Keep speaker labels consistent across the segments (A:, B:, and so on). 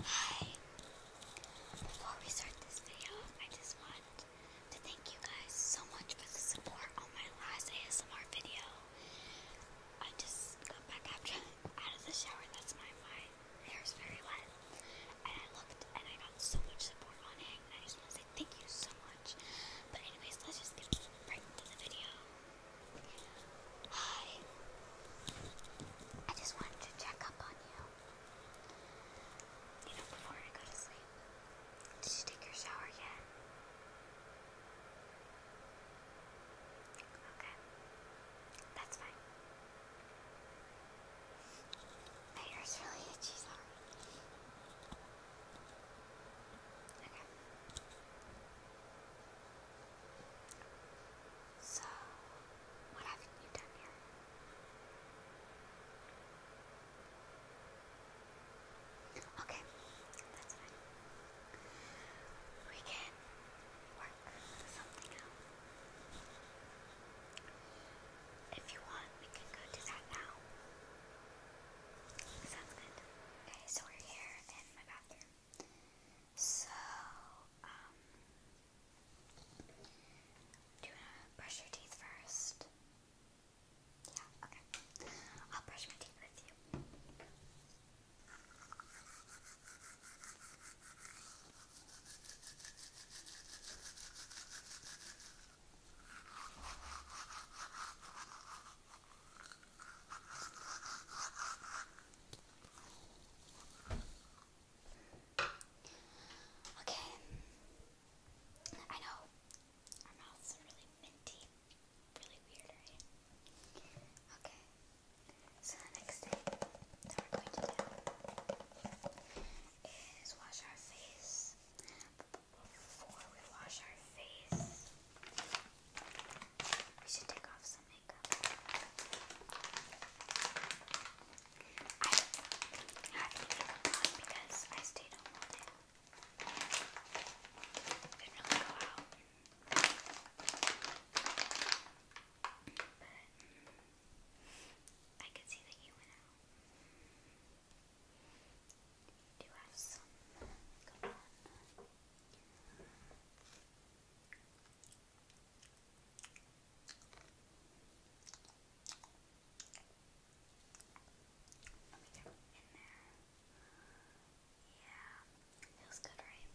A: Hi. Before we start this video, I just want to thank you guys so much for the support on my last ASMR video. I just got back after out of the shower. That's my my hair's very wet, and I looked and I got so much support on it. I just want to say thank you so much. But anyways, let's just get right into the video. Hi. I just wanted to check up on you. You know, before I go to sleep. Did you take your shower yet? Okay. That's fine. My hair's really itchy, sorry. Okay. So, what haven't you done here? Okay, that's fine. We can work something out. If you want, we can go do that now. Sounds good. Okay, so we're here in my bathroom. So, um, do you want to brush your teeth first? Yeah, okay. I'll brush my teeth with you. Okay. I know our mouths are really minty. Really weird, right? Okay. So the next thing that we're going to do is wash our face. Before we wash our face, we should take off some I had makeup because I stayed home Didn't really go out. But I could see that you went out. do have some going on. Let me Yeah, feels good, right?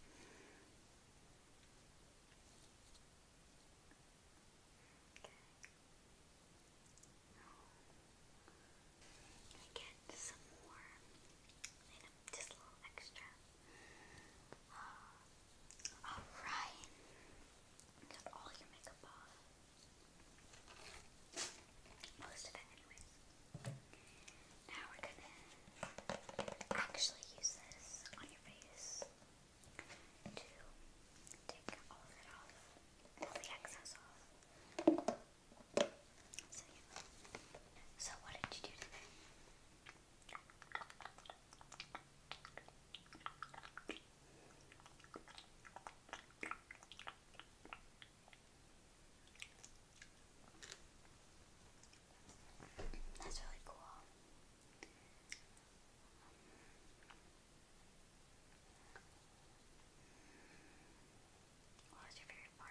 A: Okay. I get some more just a little extra. Uh, alright. Got all your makeup off. Most of it anyways. Now we're gonna actually use this on your face to take all of it off. All the excess off. So what did you do today? That's really cool. What was your favorite part?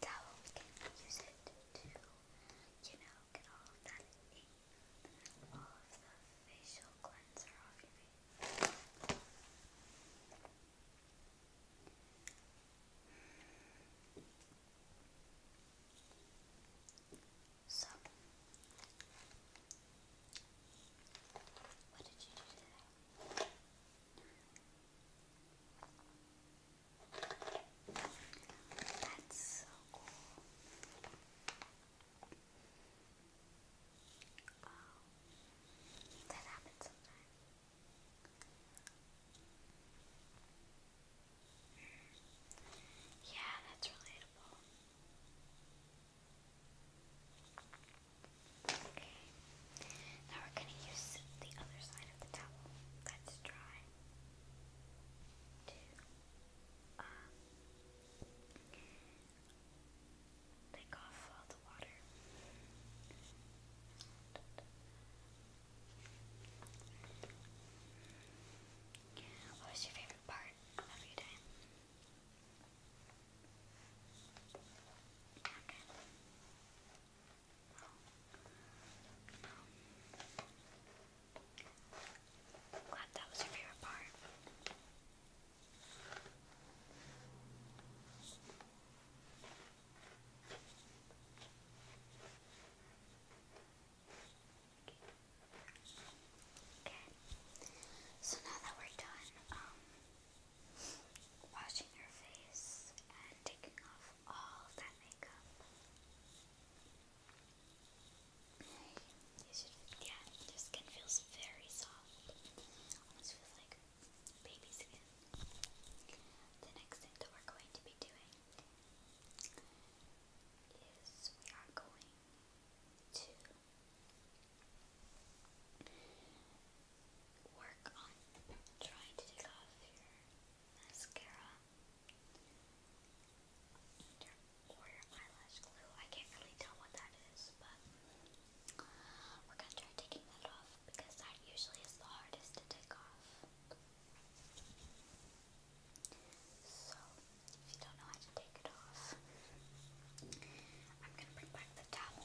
A: Towel, we can use it to, you know, get all of that all of the facial cleanser off your face. So, what did you do today? That's so cool. that happens sometimes. Yeah, that's relatable. Okay. Now we're going to use the other side of the towel that's dry to um, take off all the water. What was your favorite part of your day? Okay. Glad that was your favorite part. So now that we're done um, washing your face and taking off all that makeup. You yeah, your skin feels very soft. Almost feels like baby skin. The next thing that we're going to be doing is we are going to work on trying to take off your mascara or eyelash glue. I can't really tell what that is, but we're gonna try taking that off because that usually is the hardest to take off. So, if you don't know how to take it off, I'm gonna bring back the towel.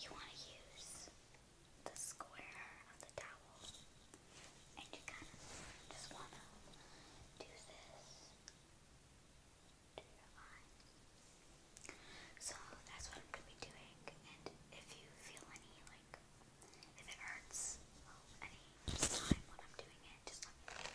A: You wanna use the square of the towel, and you kind of just want to do this So that's what I'm going to be doing, and if you feel any, like, if it hurts any time when I'm doing it, just let me know.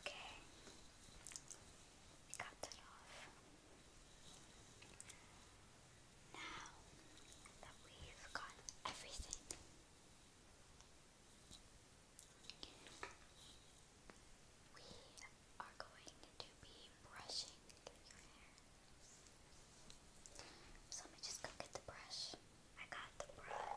A: Okay, we got it off. Now that we've got everything, we are going to be brushing your hair. So let me just go get the brush. I got the brush.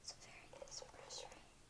A: It's a very nice brush, right?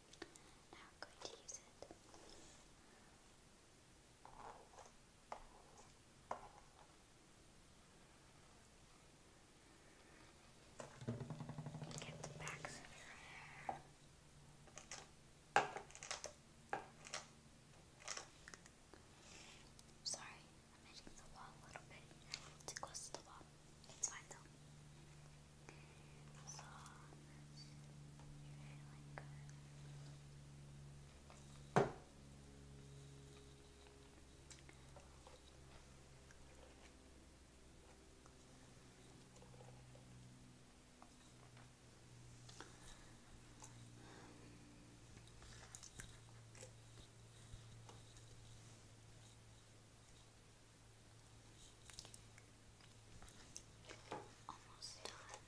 A: And i going to use it. Get the backs of your hair. Sorry, I'm hitting the wall a little bit. It's the wall. It's fine though. So you're feeling good. Almost done.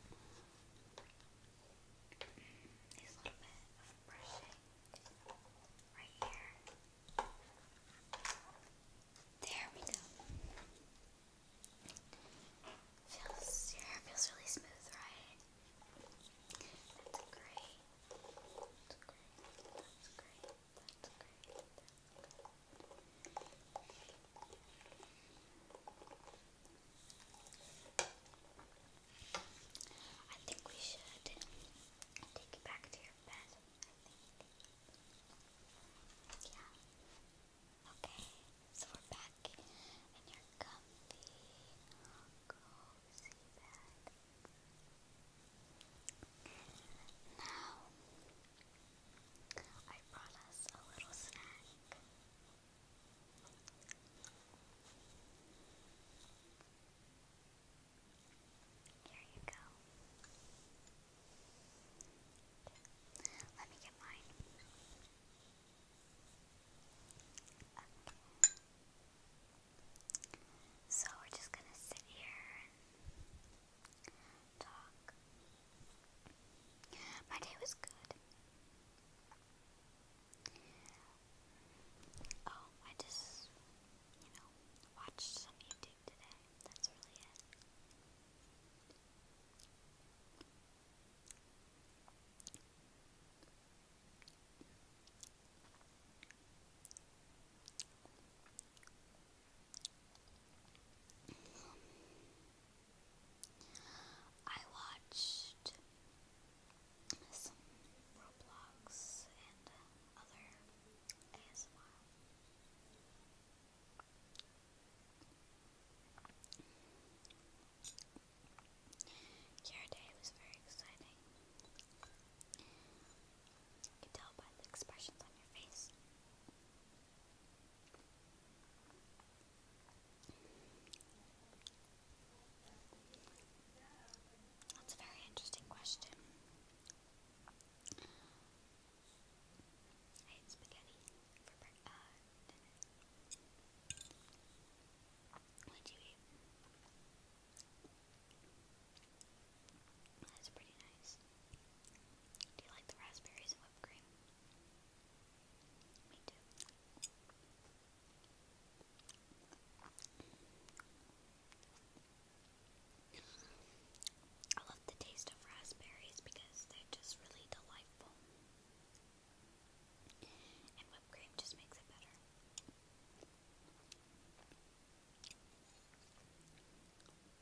A: a little bit brushing right here. There we go. Feels your hair feels really smooth, right? That's great. That's great. That's great. That's I think we should take you back to your bed. Yeah. Okay. So we're back in your comfy, cozy bed. Now, I brought us a little snack. Here you go. Let me get mine. So we're just gonna sit here talk. My day was good. Oh, I just, you know, watched some YouTube today. That's really it. I I watched some Roblox and other ASMR. Your day was very exciting. You can tell by the expressions on your face. That's a very interesting question. That's pretty nice. Do you like the raspberries and whipped cream? Me too. I love the taste of raspberries because they're just really delightful. And whipped cream just makes it better.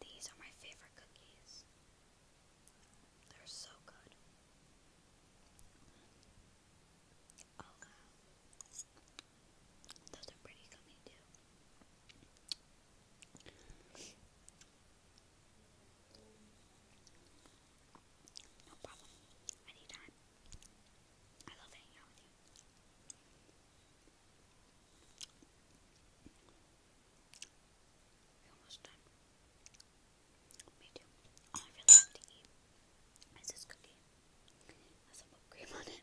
A: These are my favorite cookies. They're so good. Oh wow. Those are pretty gummy too. No problem. Anytime. I love hanging out with you. Almost done. Me too. Oh, I really have to is cookie. Has some cream on it.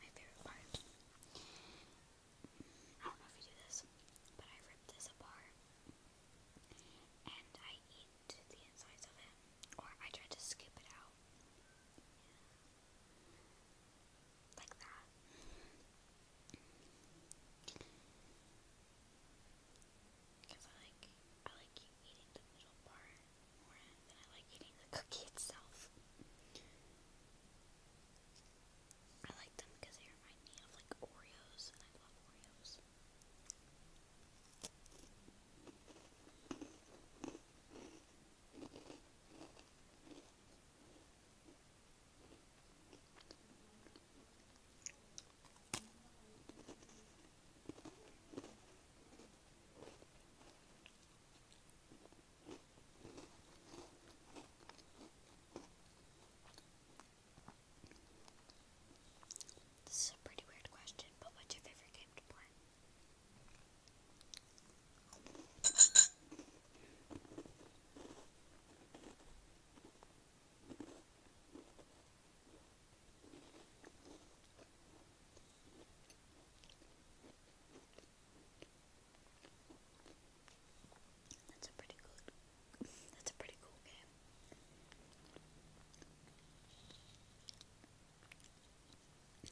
A: My favorite part. I don't know if you do this, but I rip this apart and I eat the insides of it, or I try to scoop it out. Like that. Because I like, I like eating the middle part more than I like eating the cookie itself. I like them because they remind me of like Oreos, and I love Oreos. This is a pretty weird question, but what's your favorite game to play? That's a pretty good. That's a pretty cool game. My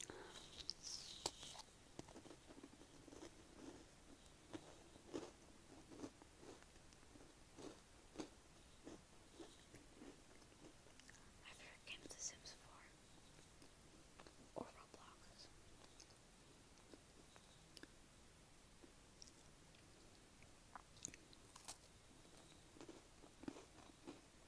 A: favorite game is The Sims 4 or Roblox.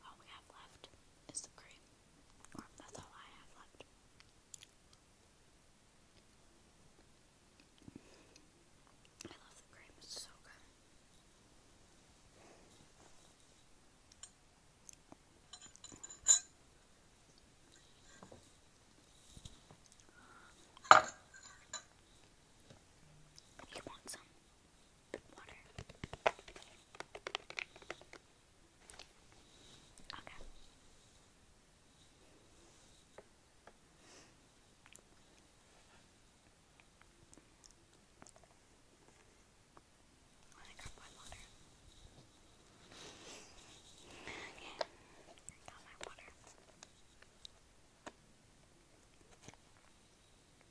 A: All we have left is the cream, that's all I have left. I love the cream, so good. You want some? water. Okay. I think I my water. Okay, got my water.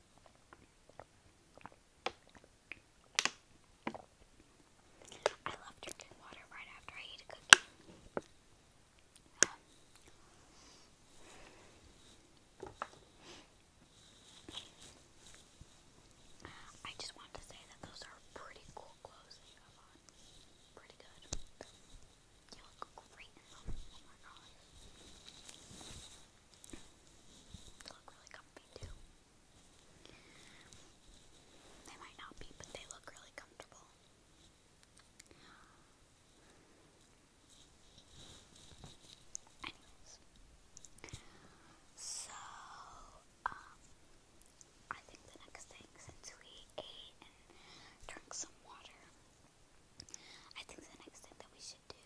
A: I love drinking water right after I eat a cookie. Um, I just want to say that those are pretty cool clothes you have on. Pretty good. You look great in them. Oh my god. They look really comfy too. They might not be, but they look really comfortable. so um, I think the next thing, since we ate and drank some water, I think the next thing that we should do is,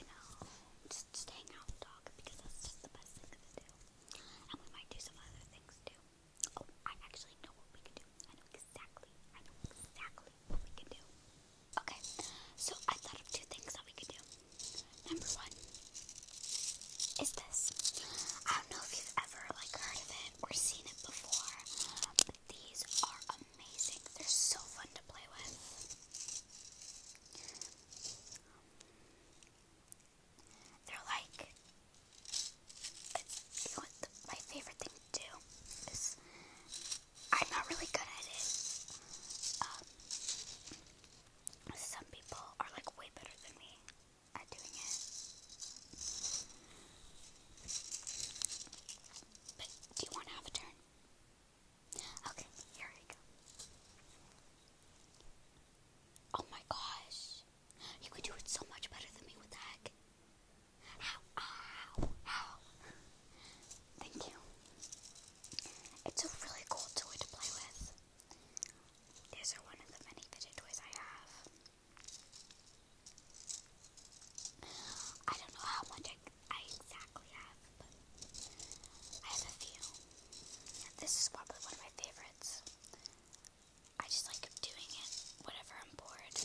A: you know, just staying out with the because that's just the best thing to do. And we might do some other things too. Oh, I actually know what we can do. I know exactly, I know exactly what we can do. Okay, so I thought of two things that we could do. Number one is this. I don't know if you've ever like heard of it We've seen it before, but these are amazing. They're so fun to play with. They're like, my favorite thing to do I'm not really good at it. Um, some people are like way better than me at doing it. But do you want to have a turn? Okay, here we go. Oh my gosh. You could do it so much better than me with the heck. Ow, ow, ow. Thank you. It's a really cool toy to play with. These are one of the many fidget toys I have. I don't know how much I, exactly have, but I have a few. This is probably one of my favorites. I just like doing it whenever I'm bored.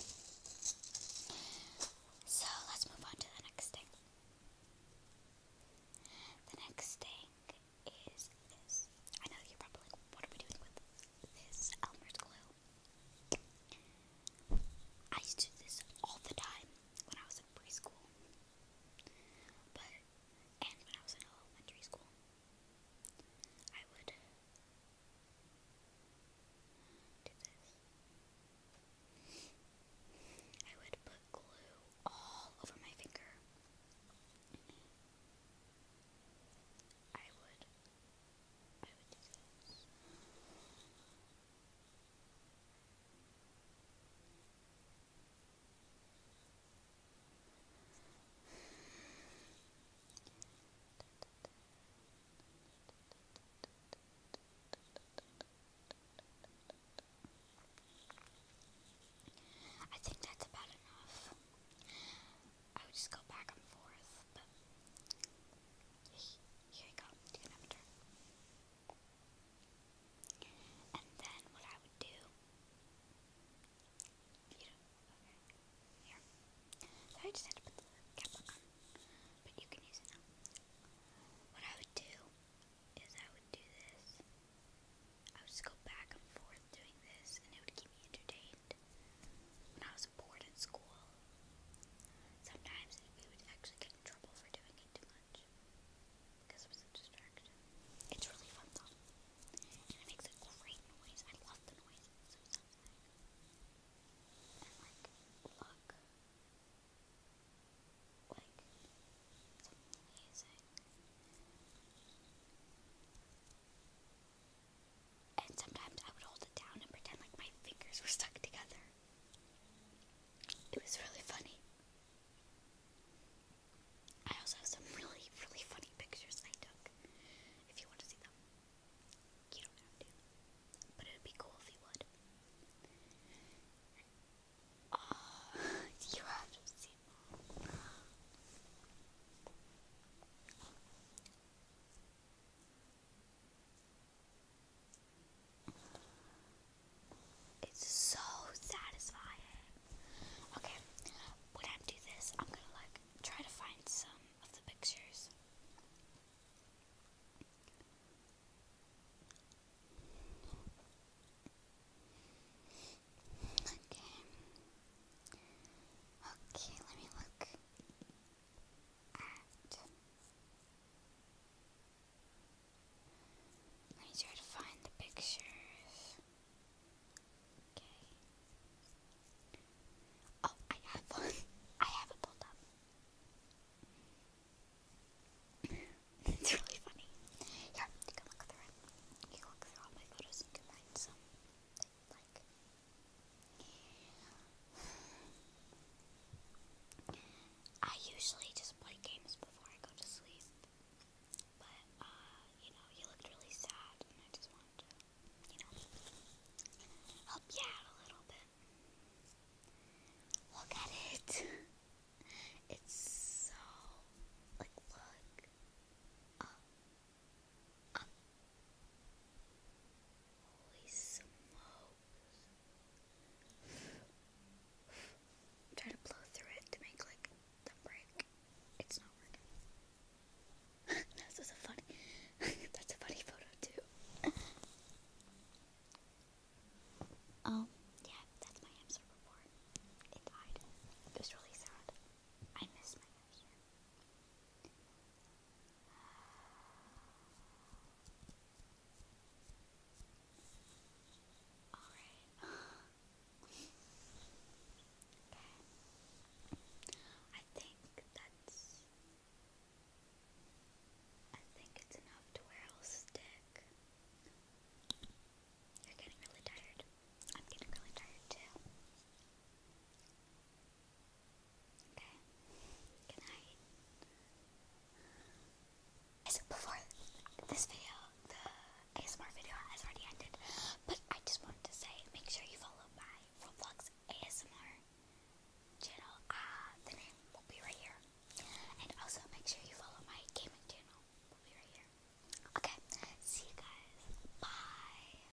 A: So let's move on to the next thing. The next thing is this. I know you're probably like, what are we doing with this Elmer's glue? I used to do this all the time when I was in preschool, but and when I was in elementary school, I would do this. I would put glue all over my finger. I would I would think that's about enough. I would just go back and forth, but here you go, you can And then What I would do is I would do this. I would just go back and forth doing this, and it would keep me entertained when I was bored in school. Sometimes we would actually get in trouble for doing it too much because it was a distraction. It's really fun though, and it makes a great noise. I love the noise. so satisfying. And like, look, like it's amazing. And sometimes I would hold it down and pretend like my fingers were stuck together. It was really funny. I also have some really, really funny pictures I took. If you want to see them, you don't have to. But it would be cool if you would. Uh, you have to see them. It's so satisfying. Okay, when I do this, I'm gonna like try to find some of the pictures. Okay. Okay, let me look Let me try to find the pictures. Okay. Oh, I have one. I have it pulled up. it's really funny. Here, you can look through it. You look through all my photos and combine some. Like I usually just play games before I go to sleep. But, uh, you know, you looked really sad, and I just wanted to, you know, help you out a little bit. Look at it. It's so, like, look. Oh, up. Holy I'm trying to blow through it to make like the break. It's not working. this is a funny that's a funny photo too. um, yeah, that's my hamster report. It died. It was really sad. I miss my hamster. Alright. I think that's. I think it's enough to where I'll stick. You're getting really tired. I'm getting really tired too. Okay. Good night. Um, so before this video, the ASMR video has already ended, but I just wanted to say, make sure you follow my Roblox ASMR channel. Uh, the name will be right here. And also make sure you follow my gaming channel. Will be right here. Okay. See you guys. Bye.